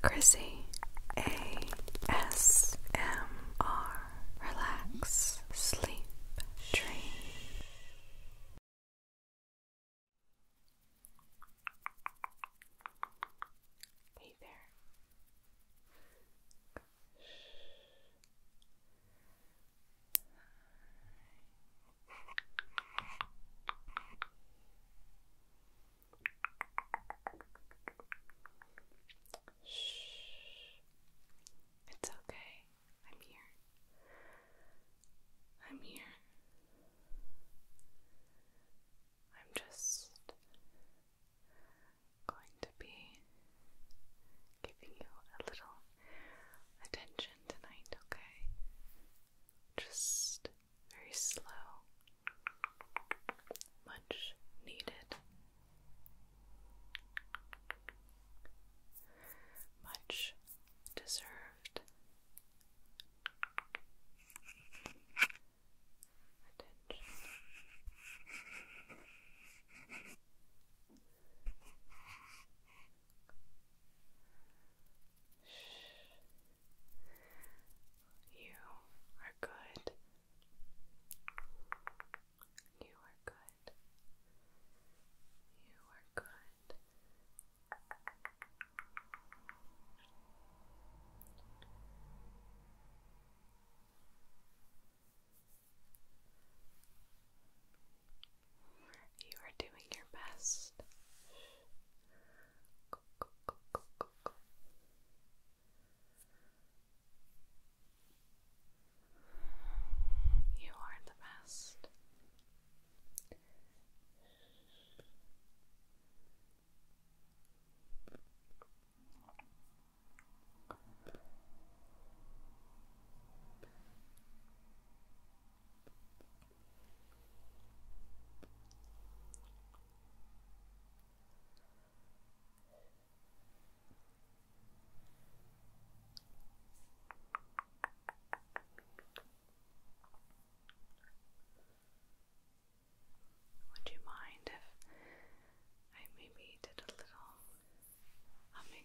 Chrissy ASMR Relax Sleep Dream Hey there. Shh. It's okay. I'm here. I'm here. I'm just going to be giving you a little attention tonight, okay? Just very slow much needed. Much deserved attention. Shh. You are good. You are good. You are good. You are doing your best look. You are the best. Would you mind if I maybe did a little humming?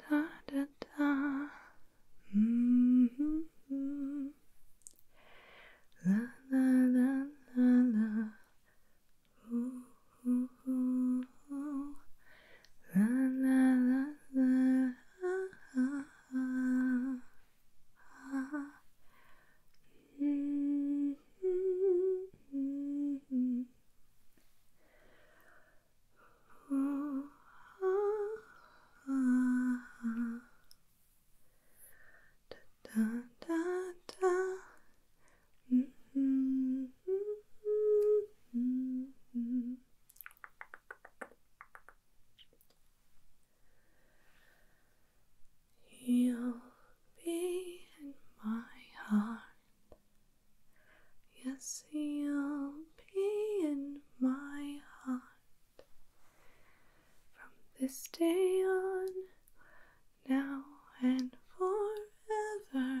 Da da da. Mm -hmm. La la la la la. Ooh, La la la la. Ah. Mm -hmm. oh, ah, ah, ah. Da, da, da, da. Mm -hmm. Mm -hmm. You'll be in my heart. Yes, you'll be in my heart. From this day on, now and forevermore.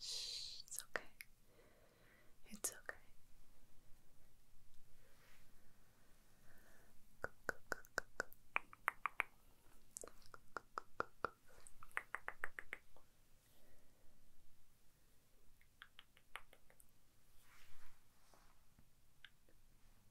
Shh, it's okay. It's okay.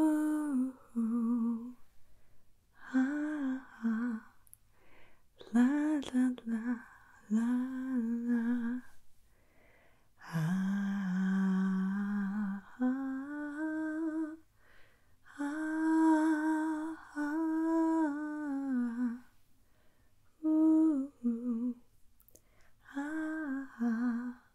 Oh, oh, ah, ah, la la la la la. Ah, ah, ah, ah, ooh, ah, ah,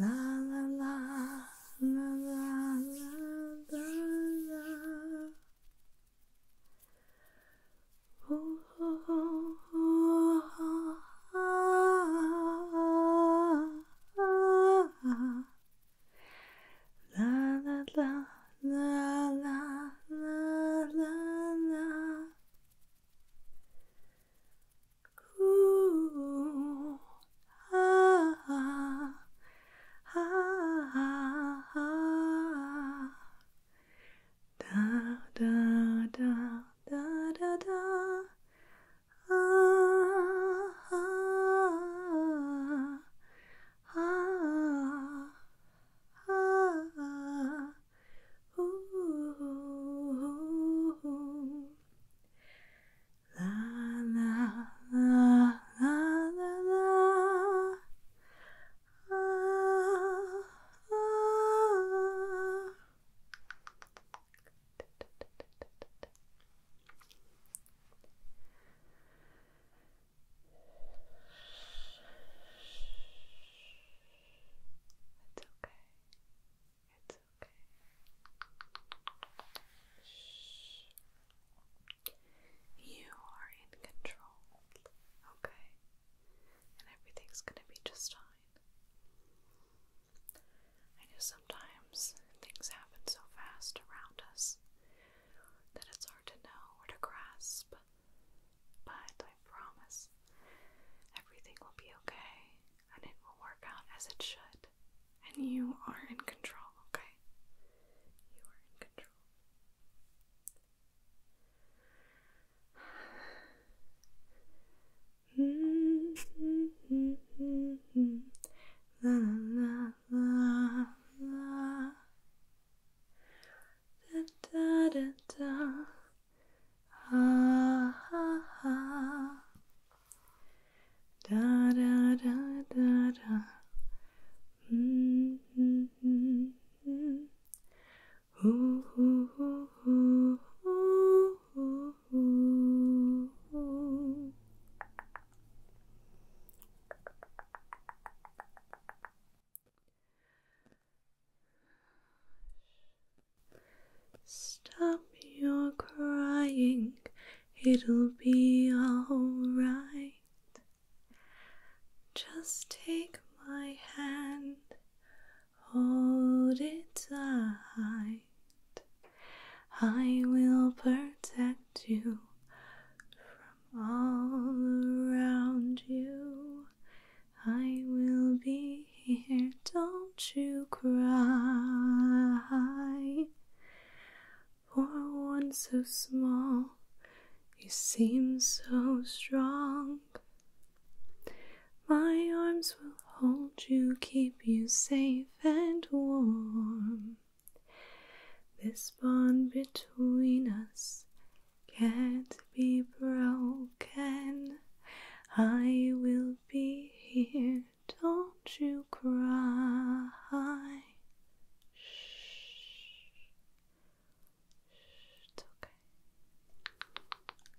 La la la la la la la la. Oh, oh, oh, oh, oh, ah, ah, ah. La la la la la la la la Ooh, ah, ah, ah, ah. Da da da da da da. Ah, ah, ah, ah, ah, ooh, la la la la la la. Ah, ah. Good. It's okay. It's okay. Shh. You are in control, okay? And everything's gonna be just fine. I know sometimes things happen so fast around us that it's hard to know or to grasp but I promise everything will be okay and it will work out as it should. And you are in control, okay? You are in control. Ha ah, ha ha! da da da da da mm -hmm, mm -hmm. Ooh, ooh, ooh, ooh, ooh, ooh, ooh, Stop your crying, it'll be alright. Just take my hand, hold it tight. I will protect you from all around you. I will be here, don't you cry. For one so small, you seem so strong. My arms will hold you, keep you safe and warm. This bond between us can't be broken. I will be here, don't you cry. Shh. it's okay.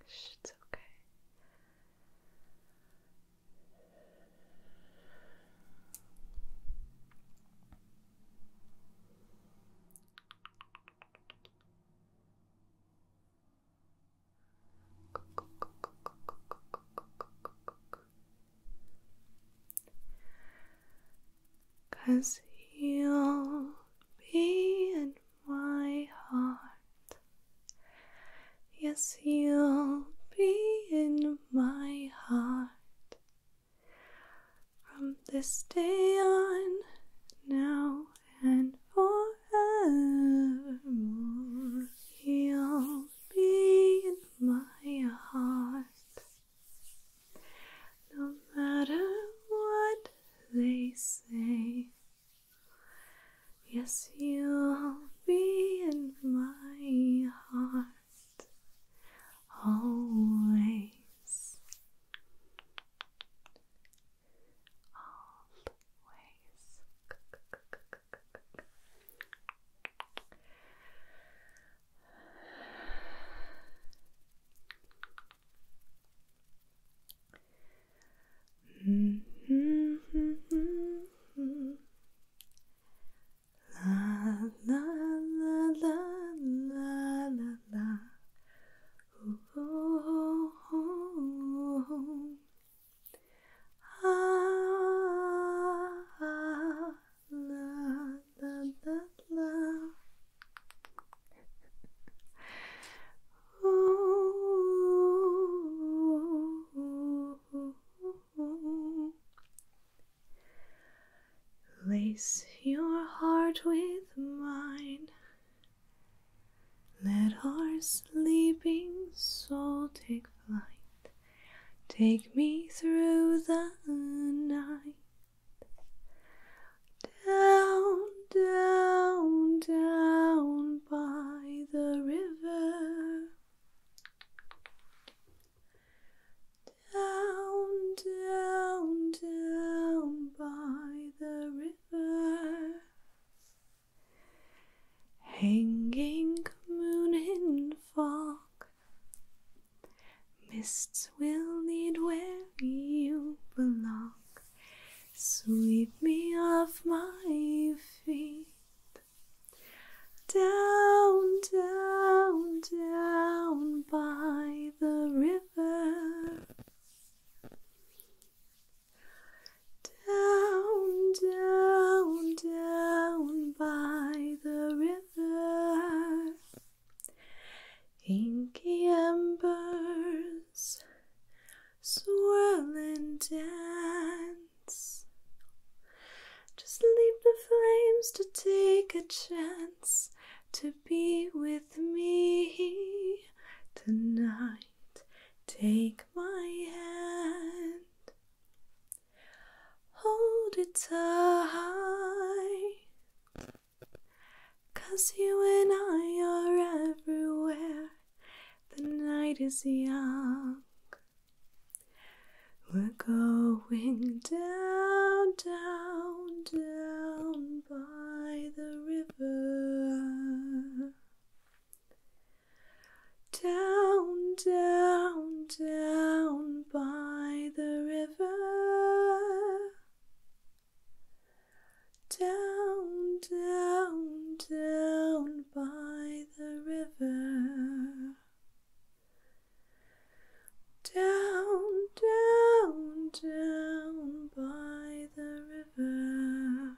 it's okay. Cause you'll be in my heart. Yes, you'll be in my heart from this day on, now and forevermore. you will be in my heart, no matter what they say. Yes, you'll be in my heart always always mm -hmm. La la la la la la la Oh, Ah, la, la, la, la. Oh, Lace your heart with mine. Let our sleeping soul take flight. Take me through the night. Down, down, down by the river. Down, down, down by the river, hanging moon in fog, mists will lead where you belong. Sweep me off my feet. Down, down, down by the river. Down, down, down by the river, inky embers swirl and dance. Just leave the flames to take a chance to be with me tonight. Take my hand, hold it tight. Cause you and I are everywhere, the night is young. We're going down down, down by the river. Down, down, down by the river. Down, down, down by the river. Down, down, down by the river.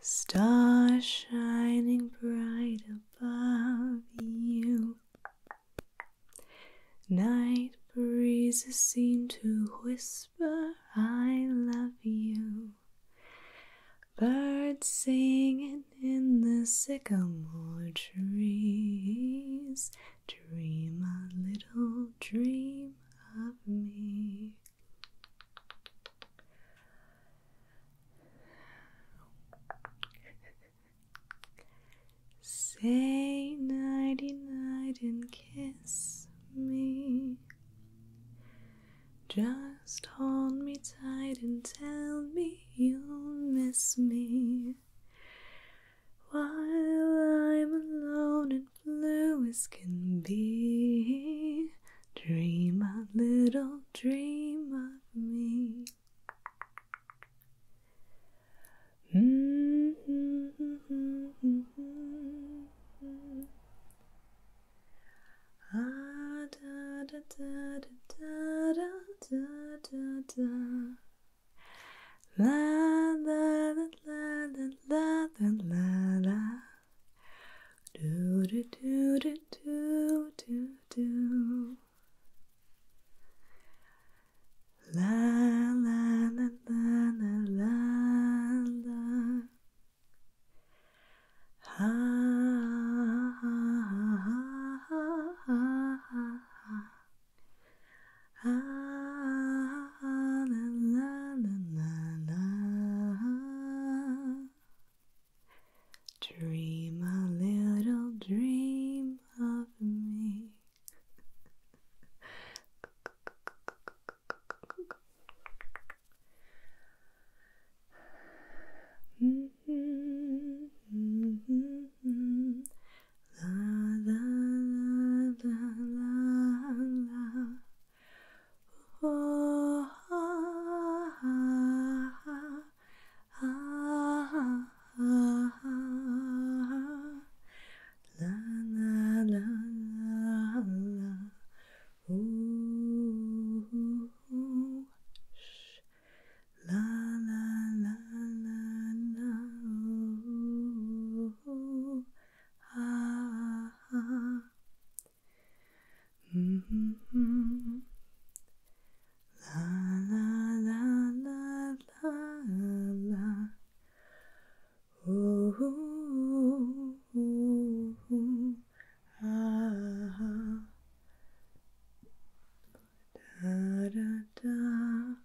Star shining bright above you. Night breezes seem to whisper, I love you. Birds singing in the sycamore trees. Dream a little dream of me. Say nighty night and kiss me. Just hold me tight and tell me you'll miss me. While I'm alone and blue as can be, dream a little dream of me. La la la la la la la la. Do do do do do do do. La la la la la la la. Ha ha ha ha ha ha ha. Ah, la, la, la, la, la. Dream a little dream of me. La la la la la. Oh, ah, ah, ah, ah, ah, ah. La la la la la. Ooh, ooh, ooh. Shh. La la la la la. Ooh, ooh, ah, ah. -hmm. La la la la la ooh ah. Da da da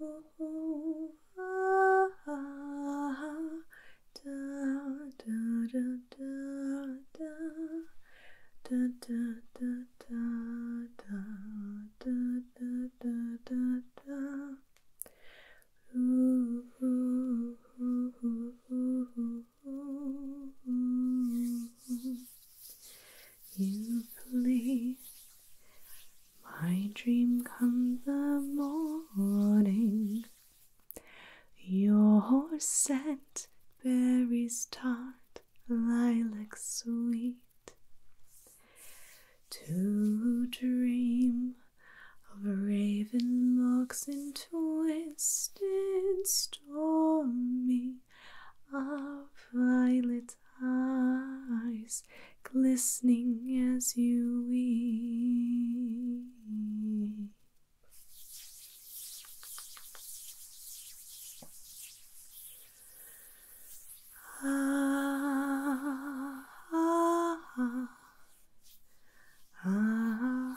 oh, ah, ah, da, da, da, da, da, da, da, da, da, da, da, da, da, da, ooh, ooh, ooh, ooh, You please. My dream come the morning. Your horse scent, berries tart, lilac sweet. To dream of raven locks in twisted stormy, of violet eyes glistening as you weep. Ah, ah, ah,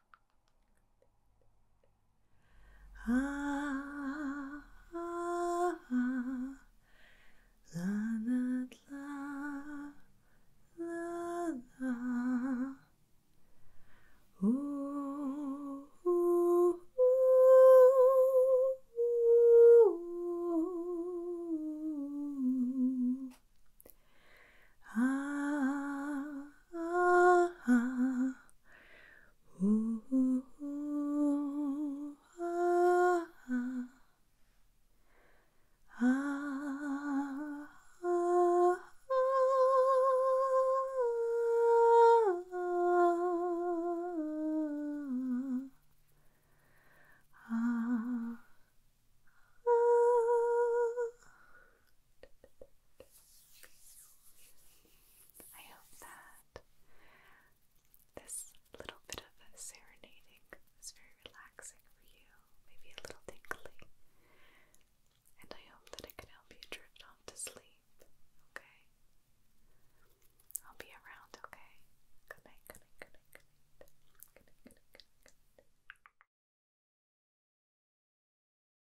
Ah, la, la, la, la, la. Ooh, ooh, ooh, ooh. Ah, ah, ah. Ooh, ooh, ah, ah. Ah, ah, ah, ah. Ah, ah, I hope that this little bit of serenading was very relaxing for you, maybe a little tingly. And I hope that it can help you drift off to sleep, okay? I'll be around, okay? Good night, good night, good night, good